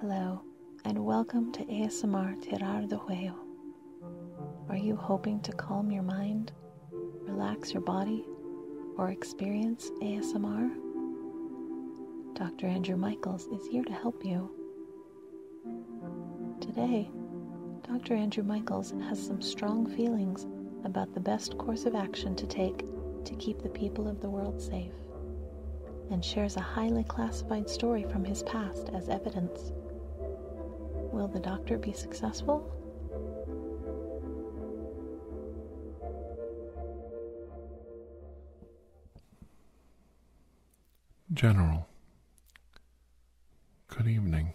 Hello, and welcome to ASMR Tirar de Juego. Are you hoping to calm your mind, relax your body, or experience ASMR? Dr. Andrew Michaels is here to help you. Today, Dr. Andrew Michaels has some strong feelings about the best course of action to take to keep the people of the world safe and shares a highly classified story from his past as evidence. Will the doctor be successful? General, good evening.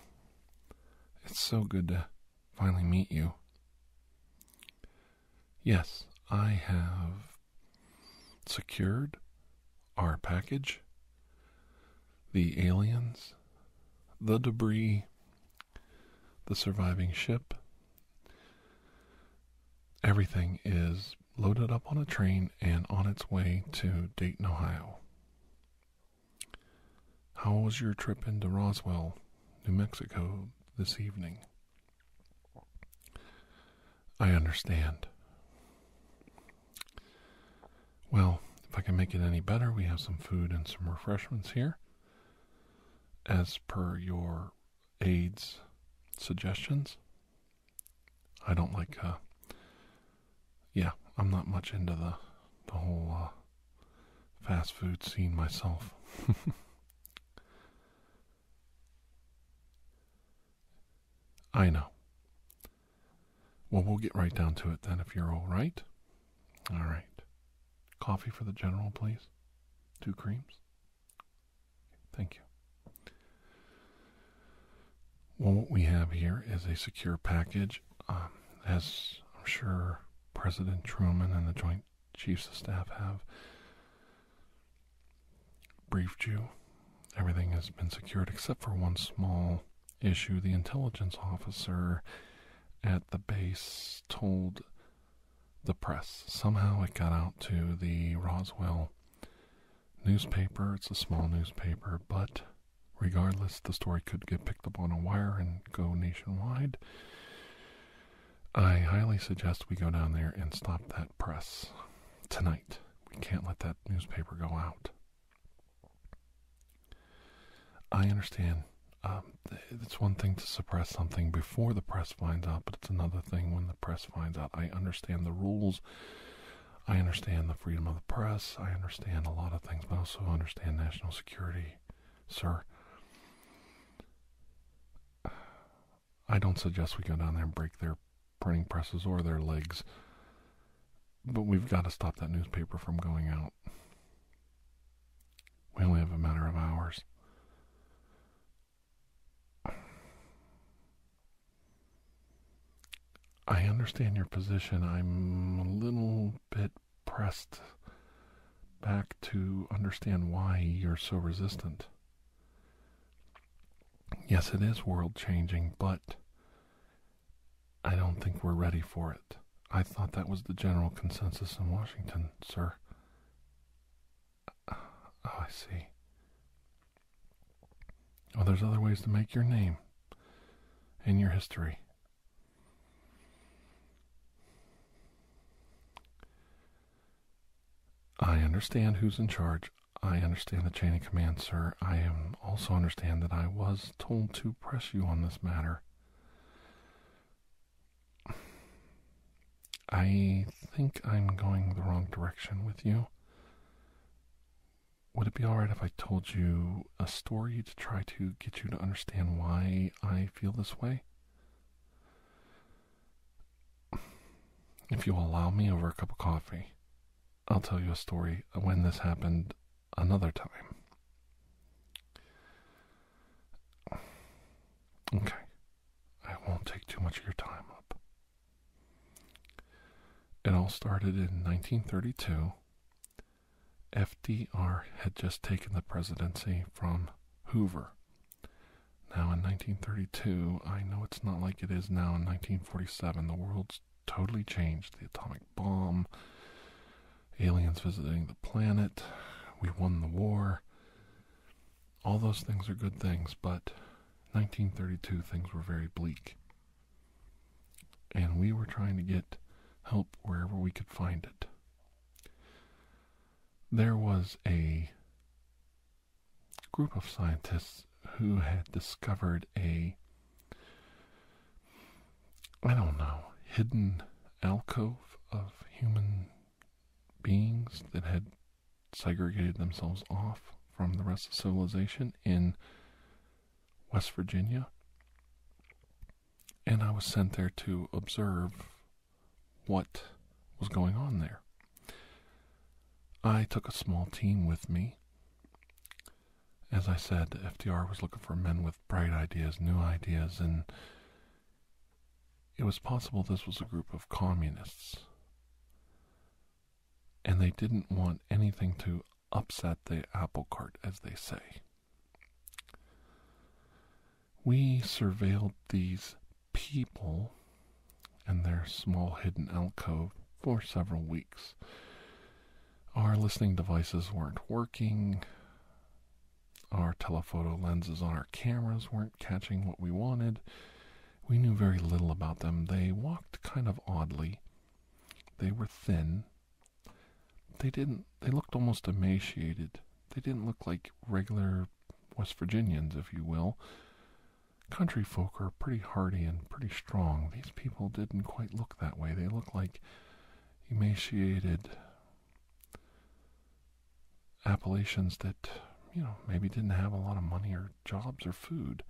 It's so good to finally meet you. Yes, I have secured our package, the aliens, the debris, the surviving ship. Everything is loaded up on a train and on its way to Dayton, Ohio. How was your trip into Roswell, New Mexico this evening? I understand. Well, if I can make it any better, we have some food and some refreshments here. As per your aide's suggestions, I don't like, uh, yeah, I'm not much into the, the whole uh, fast food scene myself. I know. Well, we'll get right down to it then if you're all right. All right. Coffee for the general, please. Two creams. Thank you. Well, what we have here is a secure package. Um, as I'm sure President Truman and the Joint chiefs of staff have briefed you. Everything has been secured except for one small issue. The intelligence officer at the base told the press. Somehow it got out to the Roswell newspaper. It's a small newspaper, but regardless, the story could get picked up on a wire and go nationwide. I highly suggest we go down there and stop that press tonight. We can't let that newspaper go out. I understand. Um, it's one thing to suppress something before the press finds out, but it's another thing when the press finds out. I understand the rules. I understand the freedom of the press. I understand a lot of things, but I also understand national security, sir. I don't suggest we go down there and break their printing presses or their legs, but we've got to stop that newspaper from going out. We only have a matter of hours. I understand your position. I'm a little bit pressed back to understand why you're so resistant. Yes, it is world changing, but I don't think we're ready for it. I thought that was the general consensus in Washington, sir. Oh, I see. Well, there's other ways to make your name and your history. I understand who's in charge. I understand the chain of command, sir. I also understand that I was told to press you on this matter. I think I'm going the wrong direction with you. Would it be alright if I told you a story to try to get you to understand why I feel this way? If you'll allow me over a cup of coffee, I'll tell you a story when this happened another time. Okay, I won't take too much of your time up. It all started in 1932. FDR had just taken the presidency from Hoover, now in 1932, I know it's not like it is now in 1947. The world's totally changed. The atomic bomb, aliens visiting the planet, we won the war. All those things are good things, but 1932 things were very bleak. And we were trying to get help wherever we could find it there was a group of scientists who had discovered a I don't know, hidden alcove of human beings that had segregated themselves off from the rest of civilization in West Virginia. And I was sent there to observe what was going on there. I took a small team with me. As I said, FDR was looking for men with bright ideas, new ideas, and it was possible this was a group of communists. And they didn't want anything to upset the apple cart, as they say we surveilled these people and their small hidden alcove for several weeks. Our listening devices weren't working. Our telephoto lenses on our cameras weren't catching what we wanted. We knew very little about them. They walked kind of oddly. They were thin. They didn't, they looked almost emaciated. They didn't look like regular West Virginians, if you will. Country folk are pretty hearty and pretty strong. These people didn't quite look that way. They looked like emaciated Appalachians that, you know, maybe didn't have a lot of money or jobs or food.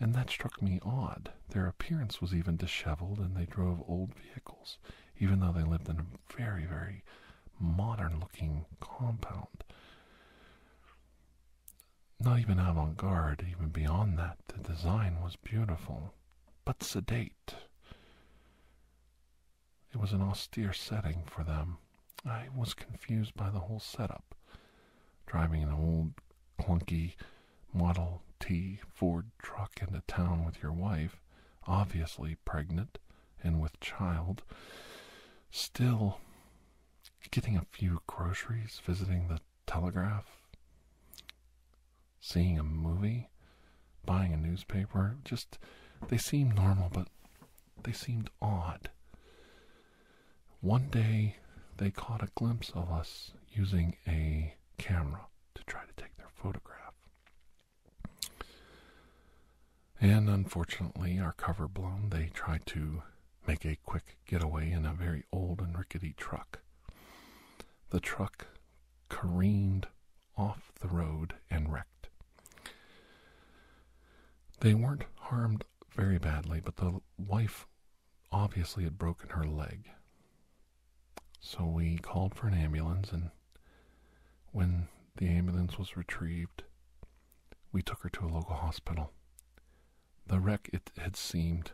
And that struck me odd. Their appearance was even disheveled, and they drove old vehicles, even though they lived in a very, very modern looking compound. Not even avant garde, even beyond that, the design was beautiful, but sedate. It was an austere setting for them. I was confused by the whole setup. Driving an old, clunky Model T Ford truck into town with your wife, obviously pregnant, and with child. Still, getting a few groceries, visiting the telegraph, seeing a movie, buying a newspaper, just they seemed normal, but they seemed odd. One day, they caught a glimpse of us using a camera to try to take their photograph. And unfortunately, our cover blown, they tried to make a quick getaway in a very old and rickety truck. The truck careened off the road and wrecked. They weren't harmed very badly, but the wife obviously had broken her leg. So we called for an ambulance and when the ambulance was retrieved, we took her to a local hospital. The wreck, it had seemed,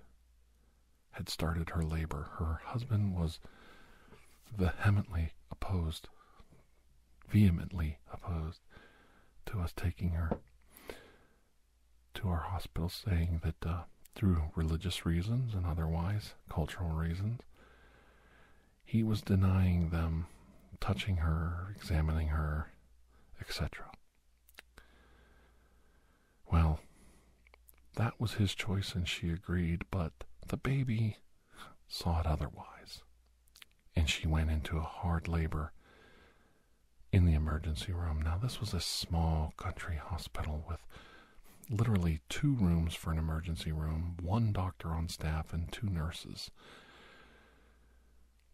had started her labor. Her husband was vehemently opposed, vehemently opposed to us taking her to our hospital, saying that uh, through religious reasons and otherwise, cultural reasons, he was denying them touching her, examining her, etc. Well, that was his choice and she agreed, but the baby saw it otherwise, and she went into a hard labor in the emergency room. Now, this was a small country hospital with literally two rooms for an emergency room, one doctor on staff, and two nurses.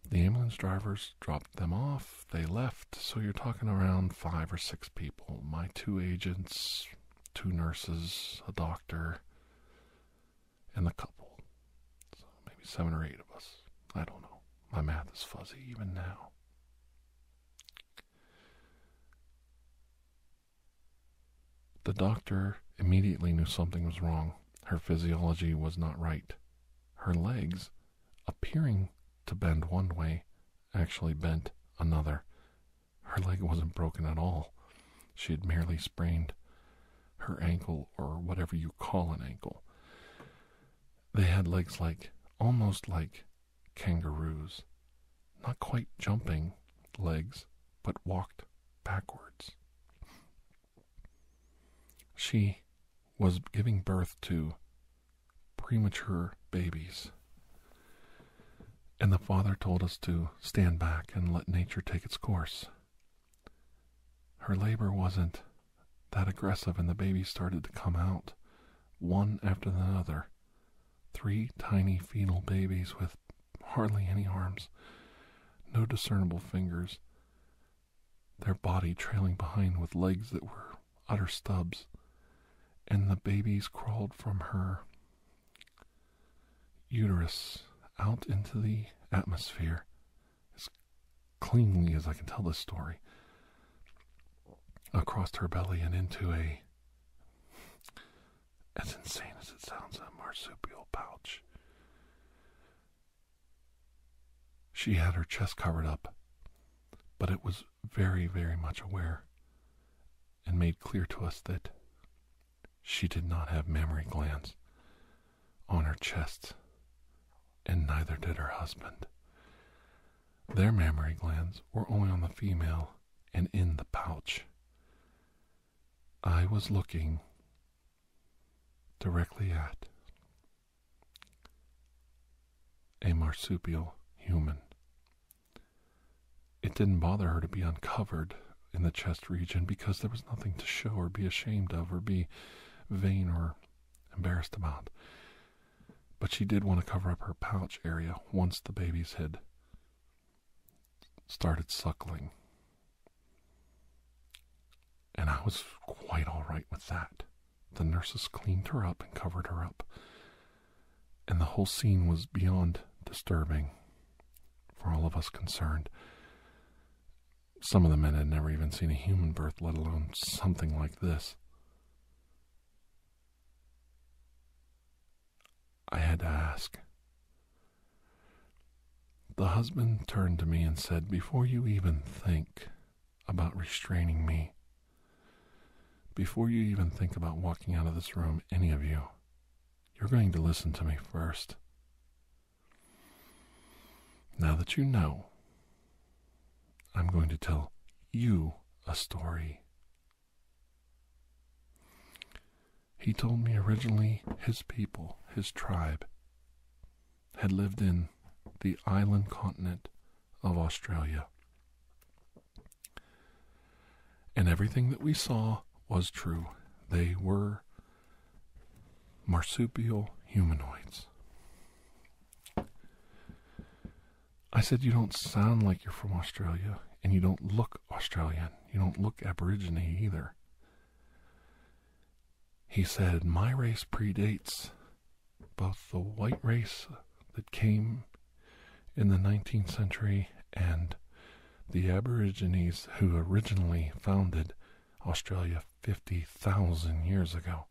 The ambulance drivers dropped them off. They left, so you're talking around five or six people. My two agents, two nurses, a doctor, and the couple. So maybe seven or eight of us. I don't know. My math is fuzzy even now. The doctor immediately knew something was wrong. Her physiology was not right. Her legs, appearing to bend one way, actually bent another. Her leg wasn't broken at all. She had merely sprained her ankle, or whatever you call an ankle. They had legs like, almost like kangaroos. Not quite jumping legs, but walked backwards. She was giving birth to premature babies. And the father told us to stand back and let nature take its course. Her labor wasn't that aggressive, and the babies started to come out, one after another. Three tiny fetal babies with hardly any arms, no discernible fingers, their body trailing behind with legs that were utter stubs, and the babies crawled from her uterus out into the atmosphere as cleanly as I can tell this story across her belly and into a as insane as it sounds, a marsupial pouch. She had her chest covered up, but it was very, very much aware and made clear to us that she did not have mammary glands on her chest, and neither did her husband. Their mammary glands were only on the female and in the pouch. I was looking directly at a marsupial human. It didn't bother her to be uncovered in the chest region because there was nothing to show or be ashamed of or be vain or embarrassed about. But she did want to cover up her pouch area once the babies had started suckling. And I was quite all right with that. The nurses cleaned her up and covered her up. And the whole scene was beyond disturbing for all of us concerned. Some of the men had never even seen a human birth, let alone something like this. I had to ask. The husband turned to me and said, Before you even think about restraining me, before you even think about walking out of this room, any of you, you're going to listen to me first. Now that you know, I'm going to tell you a story he told me originally his people, his tribe, had lived in the island continent of Australia. And everything that we saw was true. They were marsupial humanoids. I said, You don't sound like you're from Australia, and you don't look Australian. You don't look Aborigine either. He said, My race predates both the white race that came in the 19th century and the Aborigines who originally founded Australia 50,000 years ago.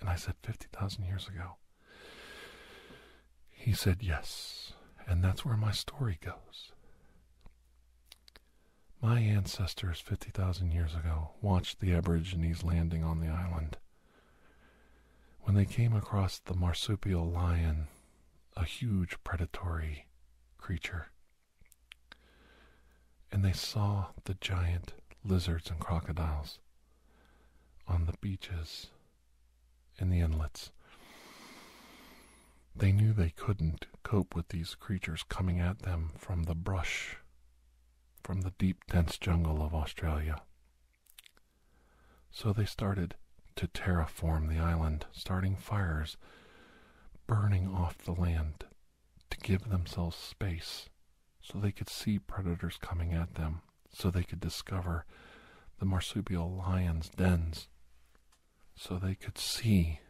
And I said 50,000 years ago. He said, Yes, and that's where my story goes. My ancestors 50,000 years ago watched the Aborigines landing on the island. When they came across the marsupial lion, a huge predatory creature, and they saw the giant lizards and crocodiles on the beaches in the inlets. They knew they couldn't cope with these creatures coming at them from the brush, from the deep, dense jungle of Australia. So they started to terraform the island, starting fires, burning off the land to give themselves space so they could see predators coming at them, so they could discover the marsupial lions' dens so they could see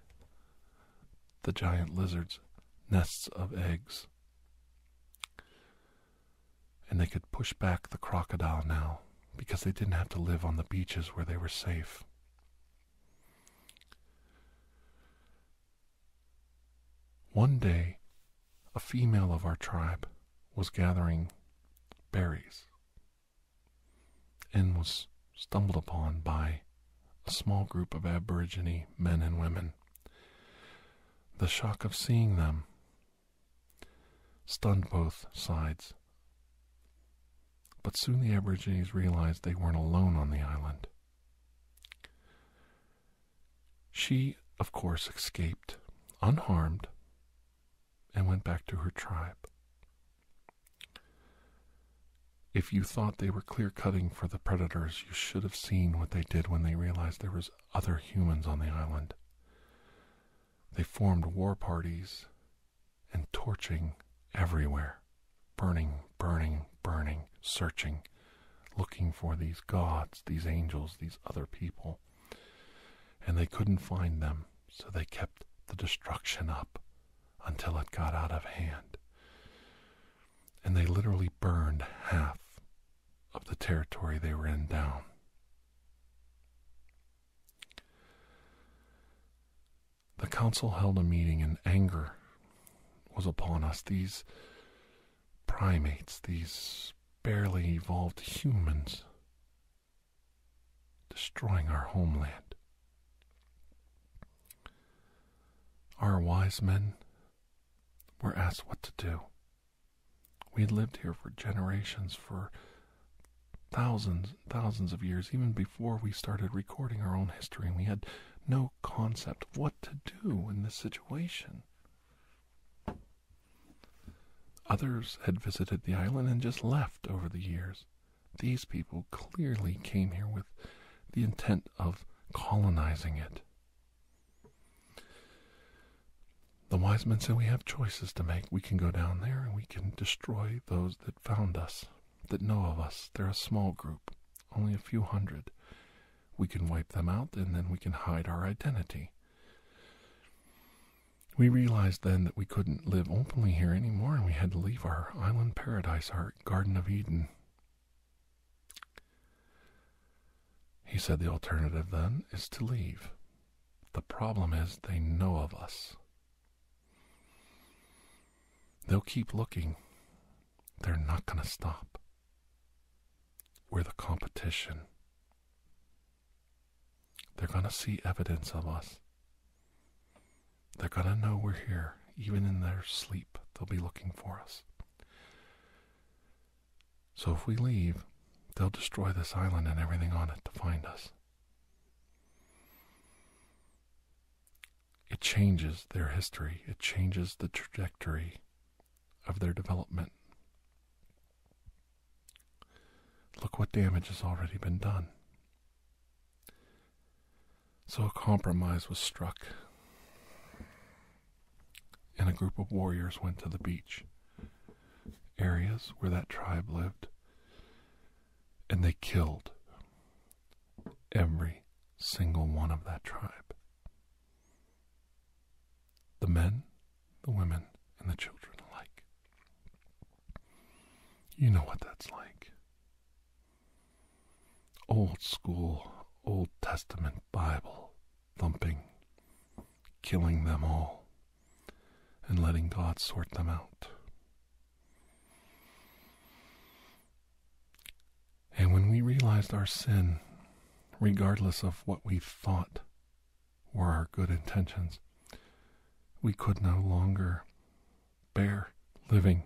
the giant lizard's nests of eggs. And they could push back the crocodile now because they didn't have to live on the beaches where they were safe. One day, a female of our tribe was gathering berries and was stumbled upon by a small group of Aborigine men and women. The shock of seeing them stunned both sides. But soon the Aborigines realized they weren't alone on the island. She, of course, escaped unharmed and went back to her tribe. If you thought they were clear cutting for the predators, you should have seen what they did when they realized there was other humans on the island. They formed war parties and torching everywhere, burning, burning, burning, searching, looking for these gods, these angels, these other people. And they couldn't find them, so they kept the destruction up until it got out of hand. And they literally burned half of the territory they were in down. The council held a meeting, in anger was upon us. These primates, these barely evolved humans, destroying our homeland. Our wise men were asked what to do. We had lived here for generations, for thousands and thousands of years, even before we started recording our own history, and we had no concept what to do in this situation. Others had visited the island and just left over the years. These people clearly came here with the intent of colonizing it. The wise men said we have choices to make. We can go down there and we can destroy those that found us, that know of us. They're a small group, only a few hundred. We can wipe them out and then we can hide our identity. We realized then that we couldn't live openly here anymore and we had to leave our island paradise, our Garden of Eden. He said the alternative then is to leave. The problem is they know of us. They'll keep looking. They're not going to stop. We're the competition. They're going to see evidence of us. They're going to know we're here. Even in their sleep, they'll be looking for us. So if we leave, they'll destroy this island and everything on it to find us. It changes their history, it changes the trajectory of their development. Look what damage has already been done. So a compromise was struck, and a group of warriors went to the beach areas where that tribe lived, and they killed every single one of that tribe the men, the women, and the children alike. You know what that's like. Old school, Old Testament Bible thumping, killing them all, and letting God sort them out. And when we realized our sin, regardless of what we thought were our good intentions. We could no longer bear living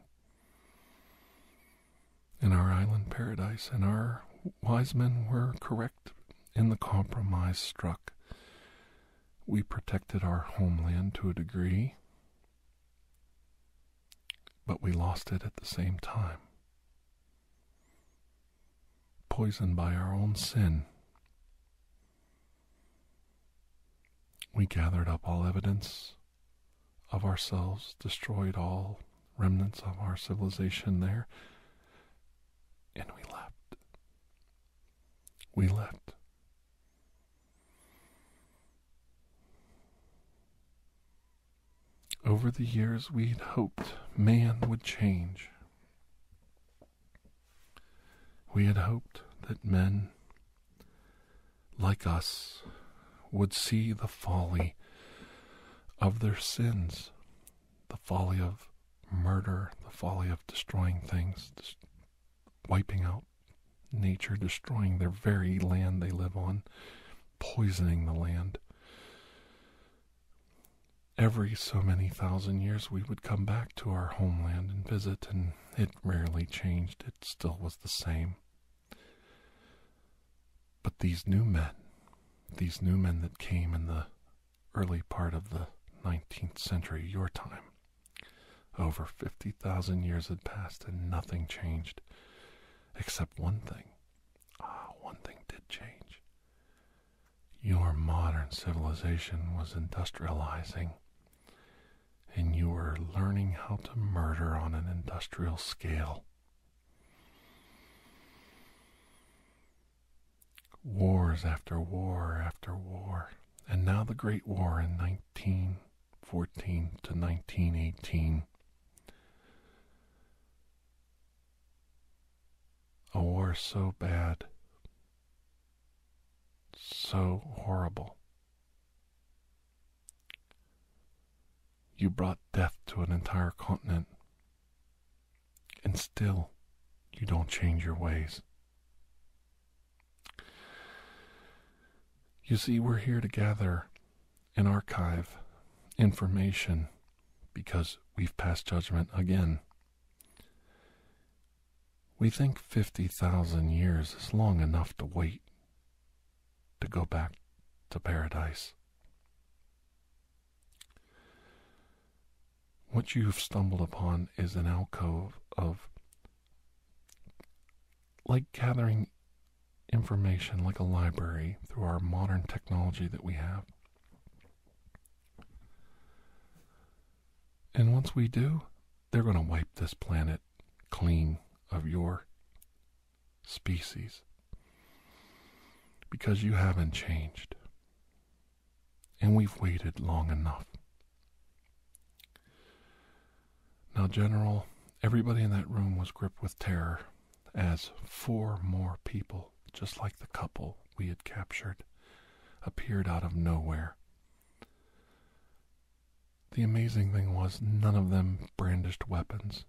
in our island paradise, and our wise men were correct in the compromise struck. We protected our homeland to a degree, but we lost it at the same time. Poisoned by our own sin, we gathered up all evidence of ourselves, destroyed all remnants of our civilization there, and we left. We left. Over the years, we'd hoped man would change. We had hoped that men like us would see the folly of their sins, the folly of murder, the folly of destroying things, wiping out nature, destroying their very land they live on, poisoning the land. Every so many thousand years, we would come back to our homeland and visit, and it rarely changed. It still was the same. But these new men, these new men that came in the early part of the 19th century, your time, over 50,000 years had passed and nothing changed, except one thing. Ah, one thing did change your modern civilization was industrializing and you were learning how to murder on an industrial scale. Wars after war after war, and now the Great War in 1914 to 1918. A war so bad so horrible. You brought death to an entire continent, and still you don't change your ways. You see, we're here to gather and archive information because we've passed judgment again. We think 50,000 years is long enough to wait to go back to paradise. What you've stumbled upon is an alcove of like gathering information like a library through our modern technology that we have. And once we do, they're going to wipe this planet clean of your species because you haven't changed. And we've waited long enough. Now, General, everybody in that room was gripped with terror as four more people just like the couple we had captured, appeared out of nowhere. The amazing thing was, none of them brandished weapons.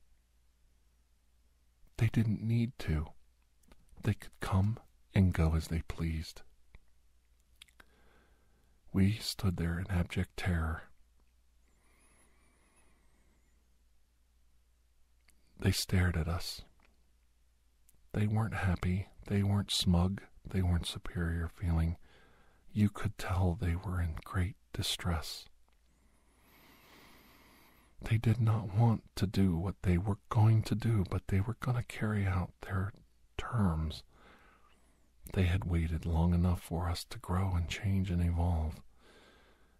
They didn't need to. They could come and go as they pleased. We stood there in abject terror. They stared at us. They weren't happy, they weren't smug, they weren't superior feeling. You could tell they were in great distress. They did not want to do what they were going to do, but they were going to carry out their terms. They had waited long enough for us to grow and change and evolve,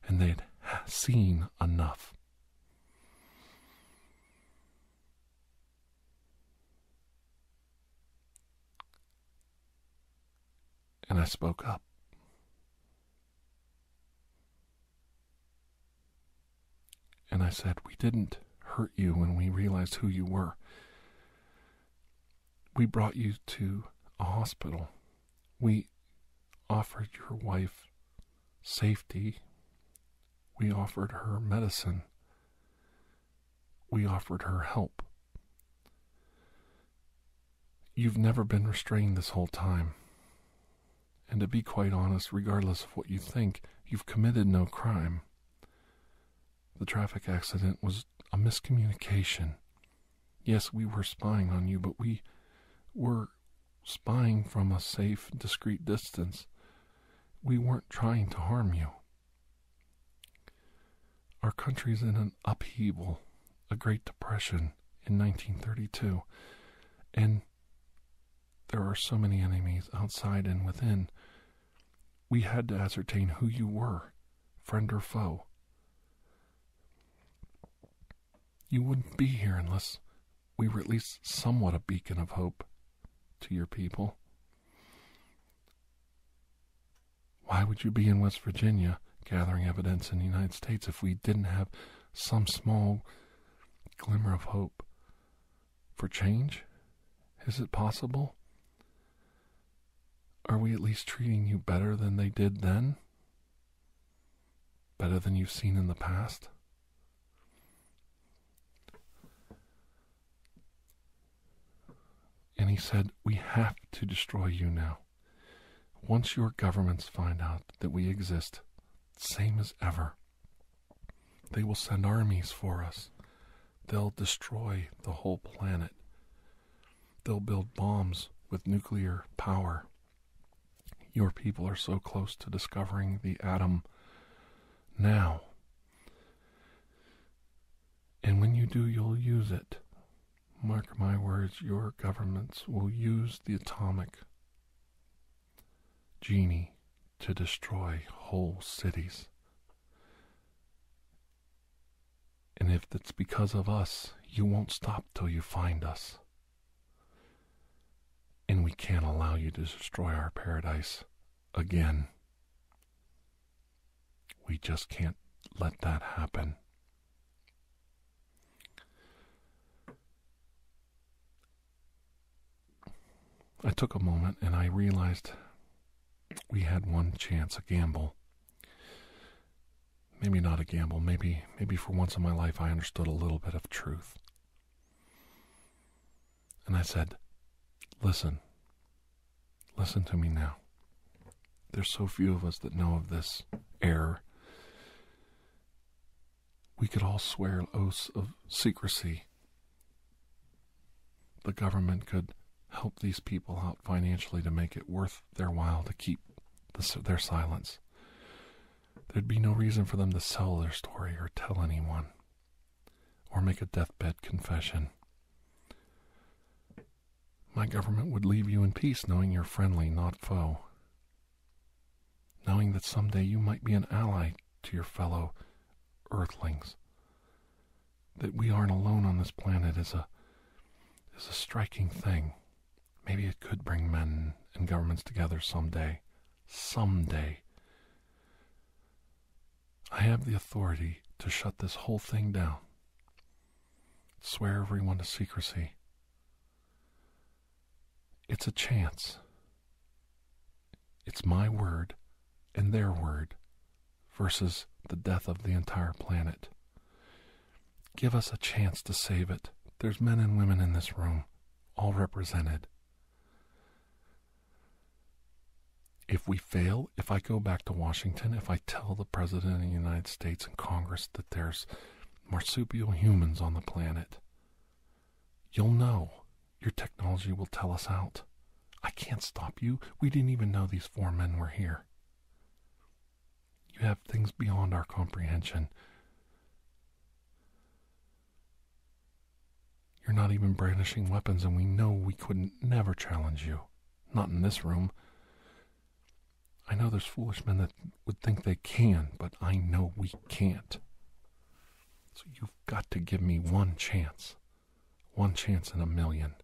and they had seen enough. And I spoke up. And I said, We didn't hurt you when we realized who you were. We brought you to a hospital. We offered your wife safety we offered her medicine. We offered her help. You've never been restrained this whole time. And to be quite honest, regardless of what you think, you've committed no crime. The traffic accident was a miscommunication. Yes, we were spying on you, but we were spying from a safe, discreet distance. We weren't trying to harm you. Our country's in an upheaval, a Great Depression in 1932, and there are so many enemies outside and within. We had to ascertain who you were, friend or foe. You wouldn't be here unless we were at least somewhat a beacon of hope to your people. Why would you be in West Virginia gathering evidence in the United States if we didn't have some small glimmer of hope for change? Is it possible? Are we at least treating you better than they did then? Better than you've seen in the past? And he said, We have to destroy you now. Once your governments find out that we exist, same as ever, they will send armies for us. They'll destroy the whole planet. They'll build bombs with nuclear power. Your people are so close to discovering the atom now. And when you do, you'll use it. Mark my words, your governments will use the atomic genie to destroy whole cities. And if it's because of us, you won't stop till you find us. And we can't allow you to destroy our paradise again. We just can't let that happen. I took a moment and I realized we had one chance, a gamble. Maybe not a gamble, maybe maybe for once in my life I understood a little bit of truth. And I said, Listen, listen to me now. There's so few of us that know of this error. We could all swear oaths of secrecy. The government could help these people out financially to make it worth their while to keep their silence. There'd be no reason for them to sell their story or tell anyone or make a deathbed confession. My government would leave you in peace knowing you're friendly, not foe. Knowing that someday you might be an ally to your fellow earthlings. That we aren't alone on this planet is a is a striking thing. Maybe it could bring men and governments together someday someday. I have the authority to shut this whole thing down. Swear everyone to secrecy. It's a chance. It's my word and their word versus the death of the entire planet. Give us a chance to save it. There's men and women in this room, all represented if we fail, if I go back to Washington, if I tell the President of the United States and Congress that there's marsupial humans on the planet, you'll know. Your technology will tell us out. I can't stop you. We didn't even know these four men were here. You have things beyond our comprehension. You're not even brandishing weapons, and we know we couldn't never challenge you. Not in this room. I know there's foolish men that would think they can, but I know we can't. So you've got to give me one chance. One chance in a million.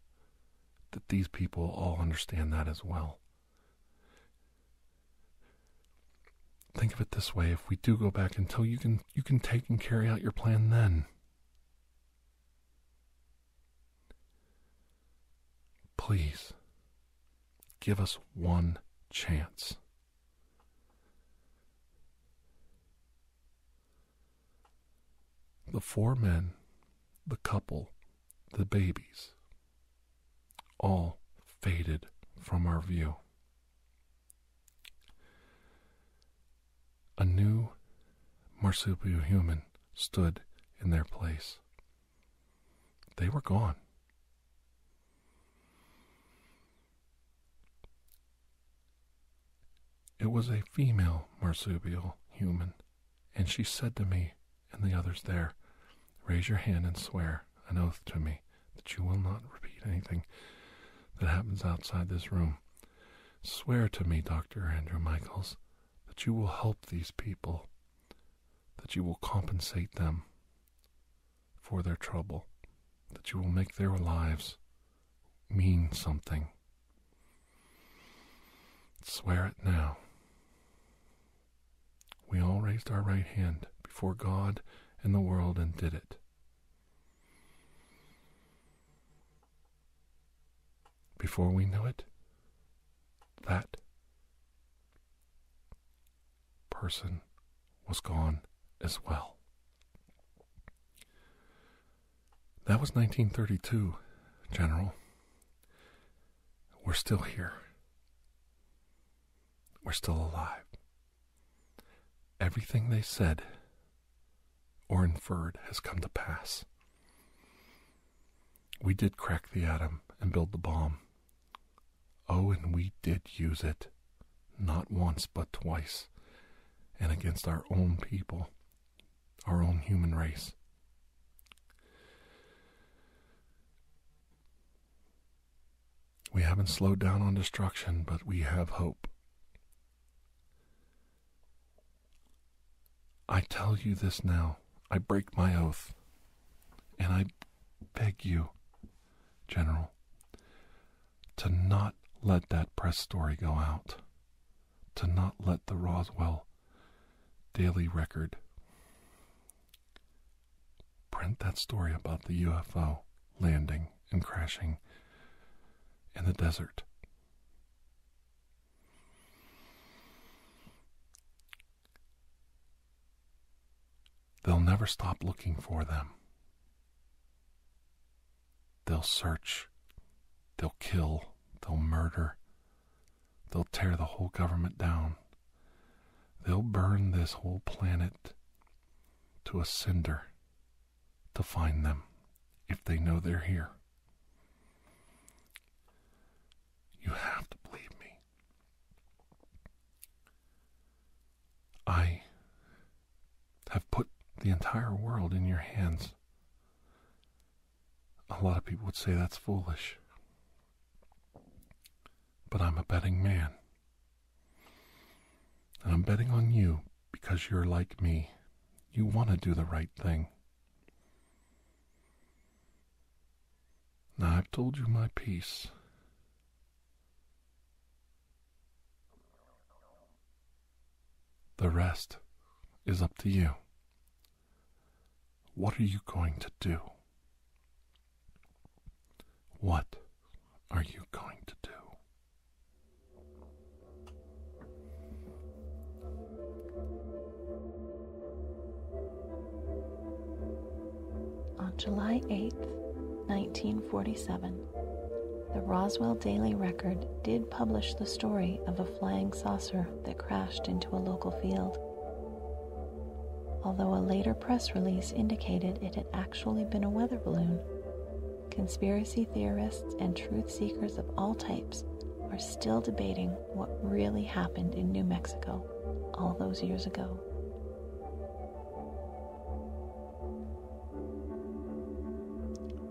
That these people all understand that as well. Think of it this way, if we do go back until you can you can take and carry out your plan then. Please give us one chance. The four men, the couple, the babies all faded from our view. A new marsupial human stood in their place. They were gone. It was a female marsupial human, and she said to me and the others there, Raise your hand and swear an oath to me that you will not repeat anything that happens outside this room. Swear to me, Dr. Andrew Michaels, that you will help these people, that you will compensate them for their trouble, that you will make their lives mean something. Swear it now. We all raised our right hand before God and the world and did it. Before we knew it, that person was gone as well. That was 1932, General. We're still here. We're still alive. Everything they said or inferred has come to pass. We did crack the atom and build the bomb. Oh, and we did use it, not once but twice, and against our own people, our own human race. We haven't slowed down on destruction, but we have hope. I tell you this now. I break my oath. And I beg you, General, to not let that press story go out, to not let the Roswell Daily Record print that story about the UFO landing and crashing in the desert. They'll never stop looking for them. They'll search, they'll kill, they'll murder, they'll tear the whole government down. They'll burn this whole planet to a cinder to find them if they know they're here. You have to believe me. I have put the entire world in your hands. A lot of people would say that's foolish. But I'm a betting man. I'm betting on you because you're like me. You want to do the right thing. Now I've told you my piece. The rest is up to you. What are you going to do? What are you going to do? On July 8, 1947, the Roswell Daily Record did publish the story of a flying saucer that crashed into a local field, although a later press release indicated it actually been a weather balloon. Conspiracy theorists and truth seekers of all types are still debating what really happened in New Mexico all those years ago.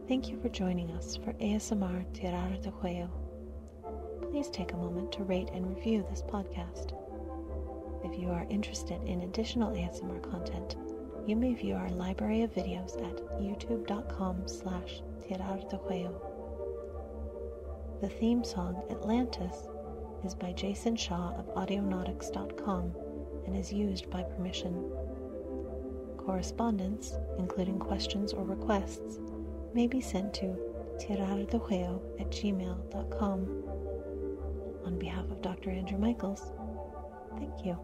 Thank you for joining us for ASMR Tirar de Juego. Please take a moment to rate and review this podcast. If you are interested in additional ASMR content, you may view our library of videos at youtube.com slash The theme song Atlantis is by Jason Shaw of Audionautics.com and is used by permission. Correspondence, including questions or requests, may be sent to tirardejueo at gmail.com. On behalf of Dr. Dr. Andrew Michaels. Thank you.